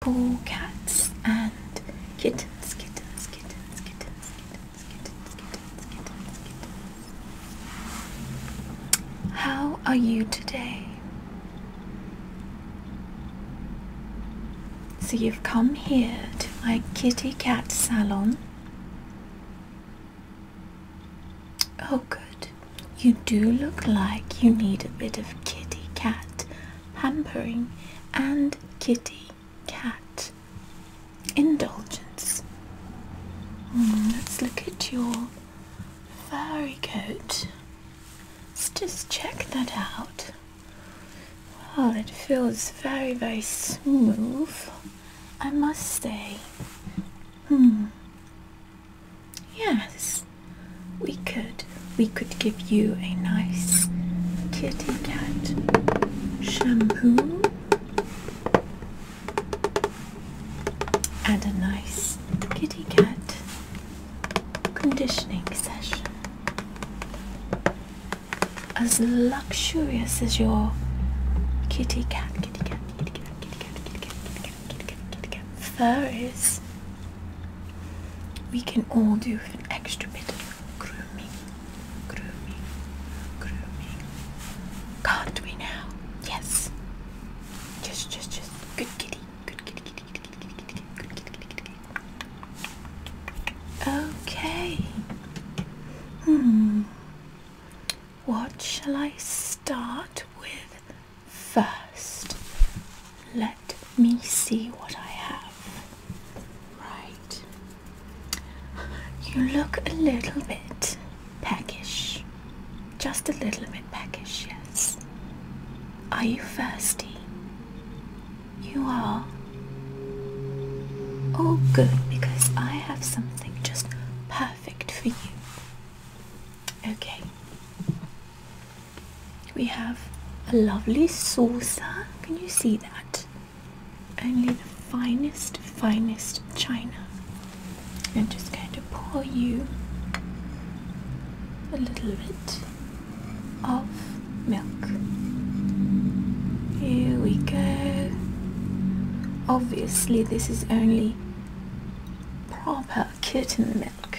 four cats and kittens, kittens, kittens, kittens, kittens, kittens, kittens, kittens, kittens. How are you today? So you've come here to my kitty cat salon. Oh, good. You do look like you need a bit of kitty cat Hampering and kitty cat indulgence. Mm, let's look at your furry coat. Let's just check that out. Well, it feels very, very smooth, I must say. Hmm. Yes, we could we could give you a nice kitty cat shampoo and a nice kitty cat conditioning session. As luxurious as your kitty cat, kitty cat, kitty cat, kitty cat, kitty cat, kitty cat, kitty cat, kitty cat, kitty cat fur is. We can all do an extra bit of grooming, grooming, grooming. Can't we now? Yes. Just, just, just. Good kitty, good kitty, kitty, kitty, kitty, kitty, good kitty, kitty, kitty. Okay. Hmm. What shall I start with first? Let let me see what I have. Right. You look a little bit peckish. Just a little bit peckish, yes. Are you thirsty? You are. Oh, good, because I have something just perfect for you. Okay we have a lovely saucer. Can you see that? Only the finest, finest china. I'm just going to pour you a little bit of milk. Here we go. Obviously, this is only proper kitten milk.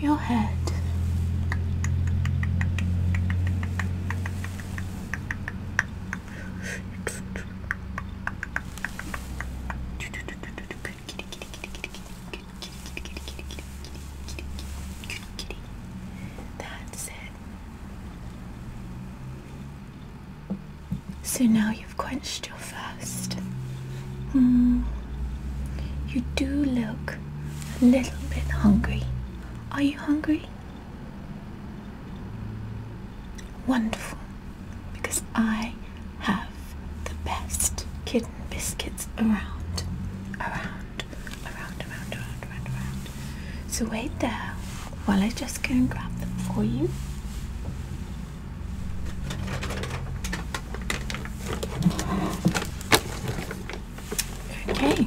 your head. That's it. So now you've quenched your thirst. Mm. You do look a little bit hungry. Are you hungry? Wonderful, because I have the best kitten biscuits around, around, around, around, around, around. So wait there while I just go and grab them for you. Okay.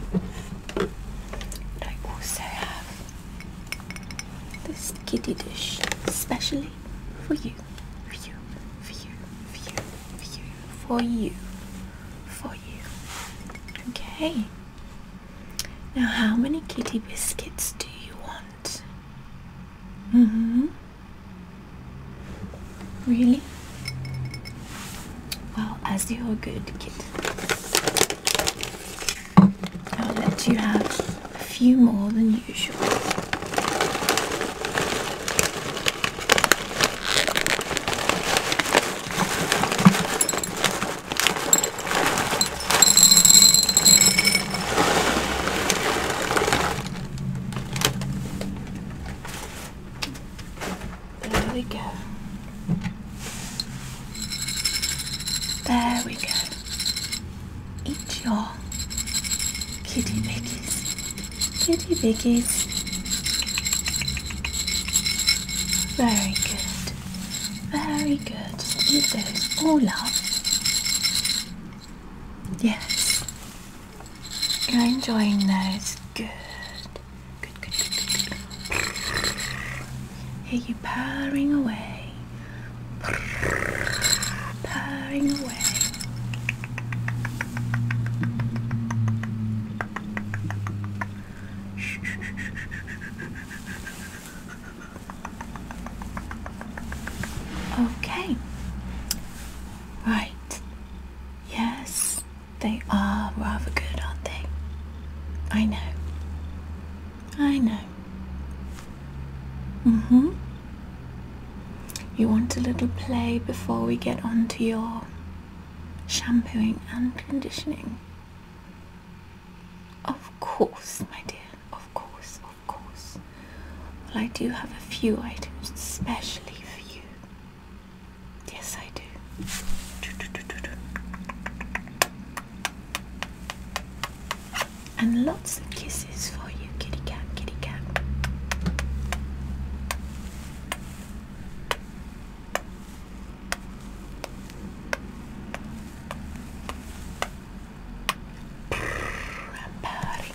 I also have this kitty dish especially for you, for you, for you, for you, for you, for you, for you. Okay. Now, how many kitty biscuits do you want? Mm hmm. Really? Well, as you're a good kid, I'll let you have a few more than usual. There we go. There we go. Eat your kitty biggies. Kitty biggies. Very good. Very good. Eat those all up. Yes. You're enjoying those. Good. Good, good, good, good, good. Hear you purring away. Purring away. Okay. Right. Yes. They are rather good, aren't they? I know. I know. hmm You want a little play before we get on to your shampooing and conditioning? Of course, my dear. Of course, of course. Well, I do have a few items especially for you. Yes, I do. And lots of kisses for you, kitty cat, kitty cat.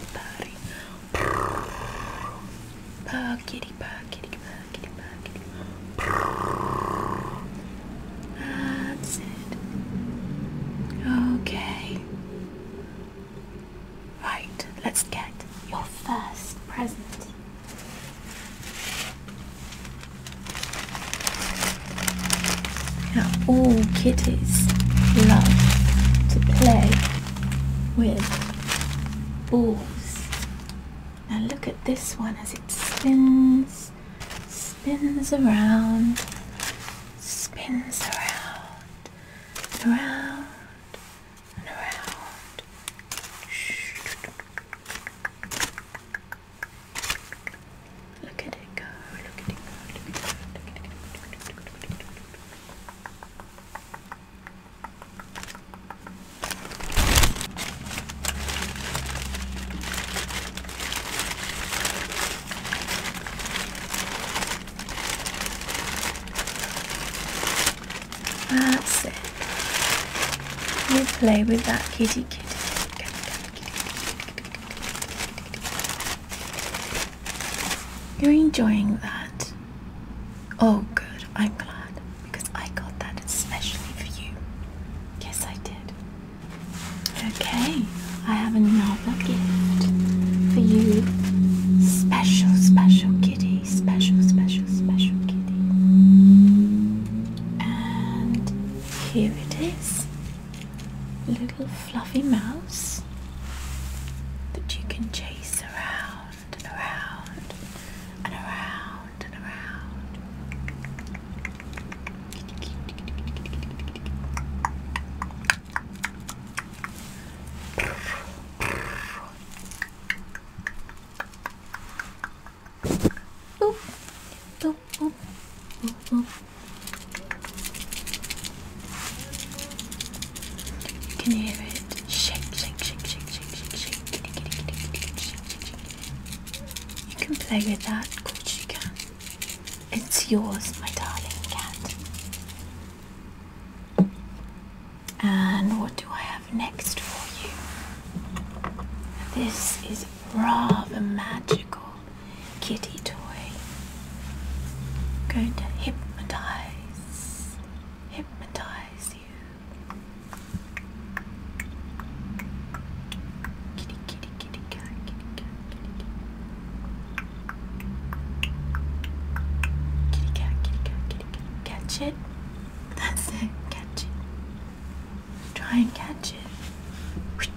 i Purr, oh, kitty, purr, kitty, purr, kitty, purr, kitty. That's it. Okay. Right, let's get your first present. Now, all kitties love to play with balls. Now look at this one as it spins, spins around, spins around, and around, and around. Look at it go, look at it go, look at it go, look at it go. Look at it go. That's it. You play with that kitty kitty. You're enjoying that. Oh, good. I'm glad because I got that especially for you. Yes, I did. Okay, I have another gift for you. Special, special kitty. Special, special, special kitty. And here it is. Little fluffy mouse that you can chase around and around and around and around. Boop, You hear it Shake, shake, shake, shake, shake, shake, shake. Kitty, kitty, kitty, kitty, kitty, shake, shake, shake. You can play with that, of course you can. It's yours, my darling cat. And what do I have next for you? This is rather magical kitty toy. I'm going to hypnotize, hypnotize you. Kitty, kitty, kitty, cat, kitty, cat, kitty, cat. Kitty cat, kitty cat, kitty cat. Catch it. That's it. Catch it. Try and catch it.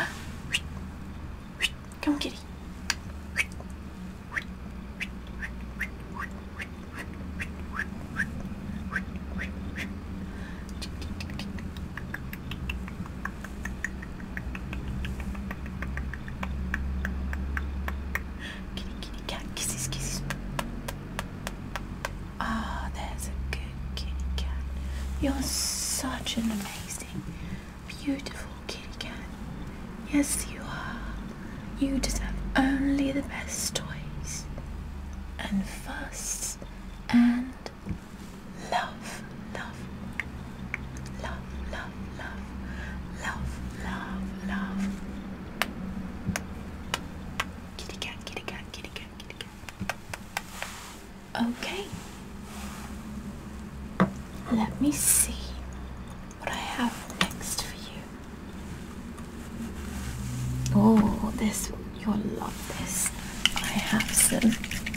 Come, kitty. Kitty, kitty, cat, kisses, kisses. Ah, oh, there's a good kitty cat. You're such an amazing, beautiful kitty cat. Yes, you are. You deserve only the best toys, and fuss, and love, love, love, love, love, love, love, love. Kitty cat, kitty cat, kitty cat, kitty cat. Okay. Let me see what I have next for you. Oh, this, you'll love this. I have some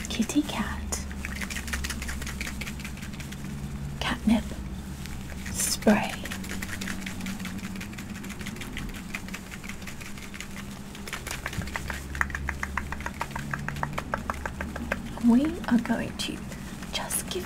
kitty cat catnip spray. We are going to just give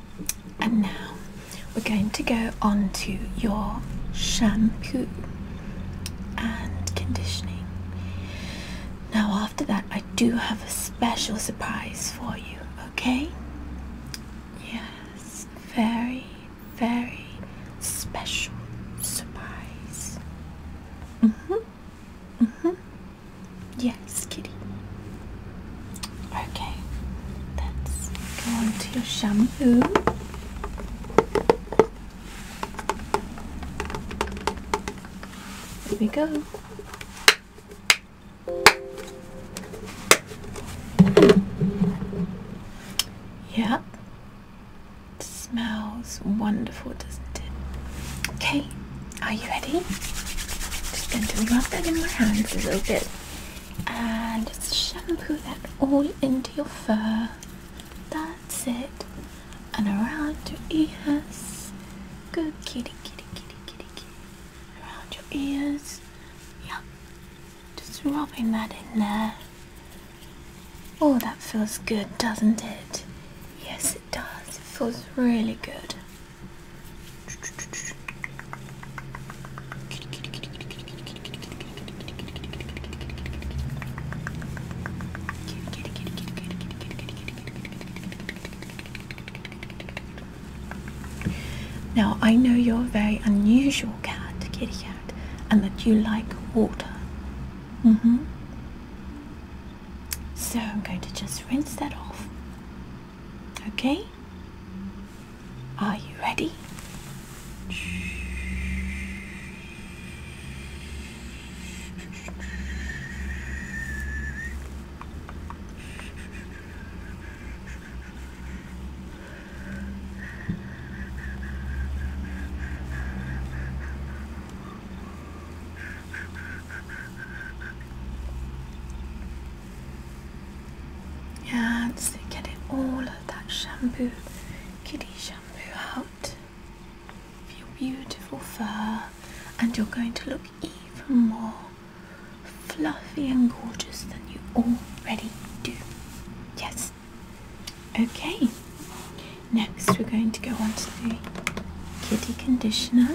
And now we're going to go on to your shampoo and conditioning. Now, after that, I do have a special surprise for you, okay? Yes, very, very special surprise. hmm. hmm. Yes, kitty. Okay, let's go on to your shampoo. Here we go. Yeah, smells wonderful, doesn't it? Okay, are you ready? Just going to rub that in my hands a little bit and just shampoo that all into your fur. That's it. And around your ears. Good kitty, kitty, kitty, kitty, kitty. Around your ears. Yep. Just rubbing that in there. Oh, that feels good, doesn't it? Yes, it does. It feels really good. Now, I know you're a very unusual cat, kitty cat, and that you like water. hmm. So I'm going to just rinse that off Okay? Are you ready? and get it all of that shampoo, kitty shampoo out of your beautiful fur and you're going to look even more fluffy and gorgeous than you already do. Yes. Okay. Next we're going to go on to the kitty conditioner.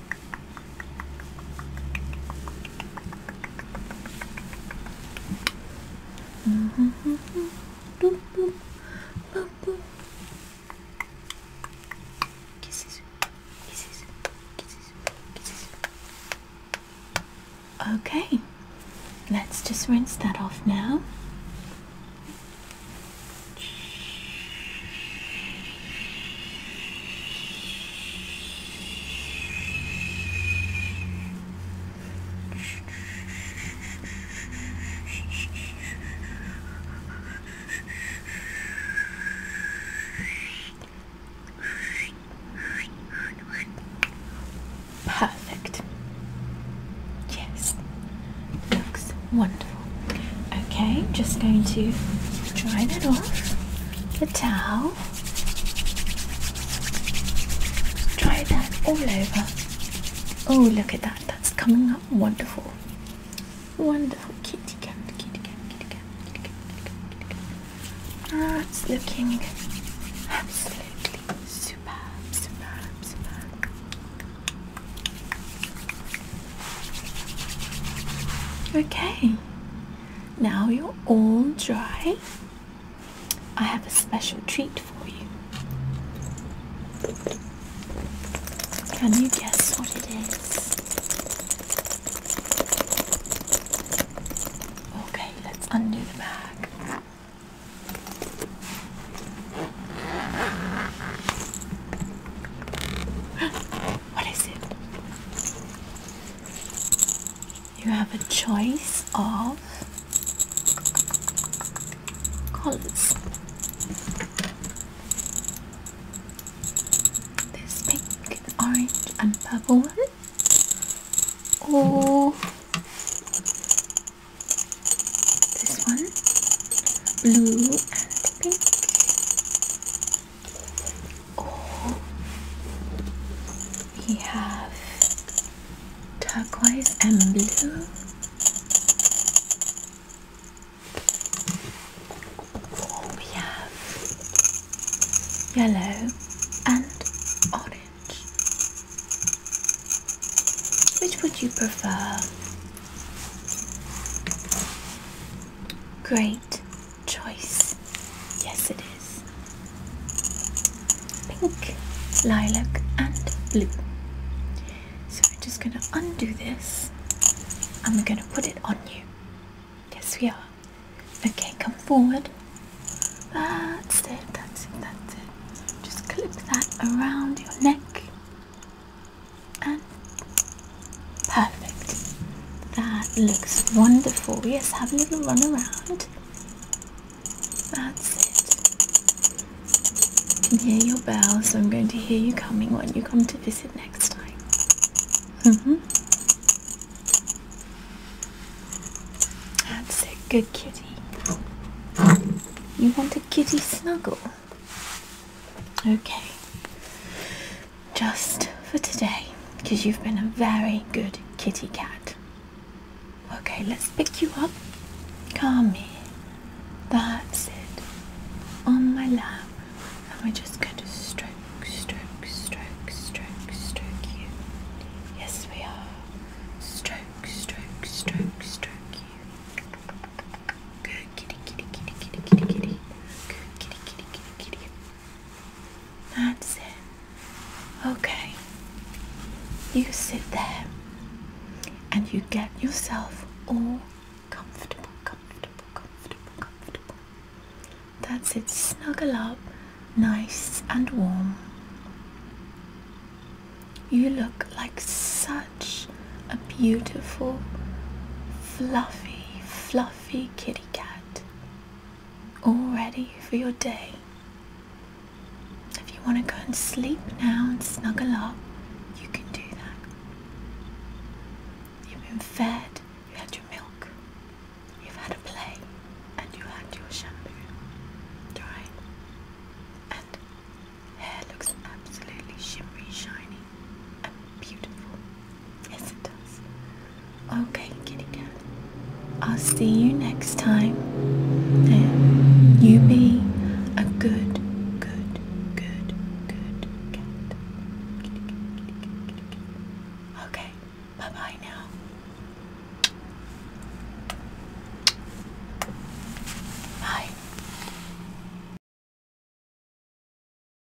Kisses, kisses, kisses, kisses. Okay, let's just rinse that off now. Perfect. Yes, looks wonderful. Okay, just going to dry that off. The towel. Dry that all over. Oh, look at that. That's coming up wonderful. Wonderful kitty cat, kitty cat, kitty cat, kitty cat, kitty cat. Ah, it's looking absolutely superb, superb, superb. Okay, now you're all dry. I have a special treat for you. Can you guess what it is? Okay, let's undo the bag. What is it? You have a choice of colors. This pink, orange, and purple one. this one, blue and pink we have turquoise and blue. we have yellow and orange. Which would you prefer? Great choice. Yes, it is. Pink, lilac, and blue. So we're just going to undo this and we're going to put it on you. Yes, we are. Okay, come forward. That's it, that's it, that's it. Just clip that around your neck and perfect. That looks wonderful. Yes, have a little run around. That's it. You can hear your bell, so I'm going to hear you coming when you come to visit next time. Mm hmm That's a good kitty. You want a kitty snuggle? Okay just for today because you've been a very good kitty cat. Okay, let's pick you up. Come here. That's it. On my lap. And we're just going to stroke, stroke, stroke, stroke, stroke you. Yes, we are. Stroke, stroke, stroke, stroke you. Good kitty, kitty, kitty, kitty, kitty, kitty. Good kitty, kitty, kitty, kitty. That's it. Okay. You sit there and you get yourself all comfortable, comfortable, comfortable, comfortable. That's it. Snuggle up, nice and warm. You look like such a beautiful, fluffy, fluffy kitty cat, all ready for your day. If you want to go and sleep now and snuggle up, you can do that. You've been fed, you had your milk, you've had a play, and you had your shampoo. Dry. And hair looks absolutely shimmery shiny. Beautiful. Yes, it does. Okay, kitty cat. I'll see you next time. And you be a good, good, good, good cat. Kitty cat, kitty cat, kitty cat. Okay, bye bye now. Bye.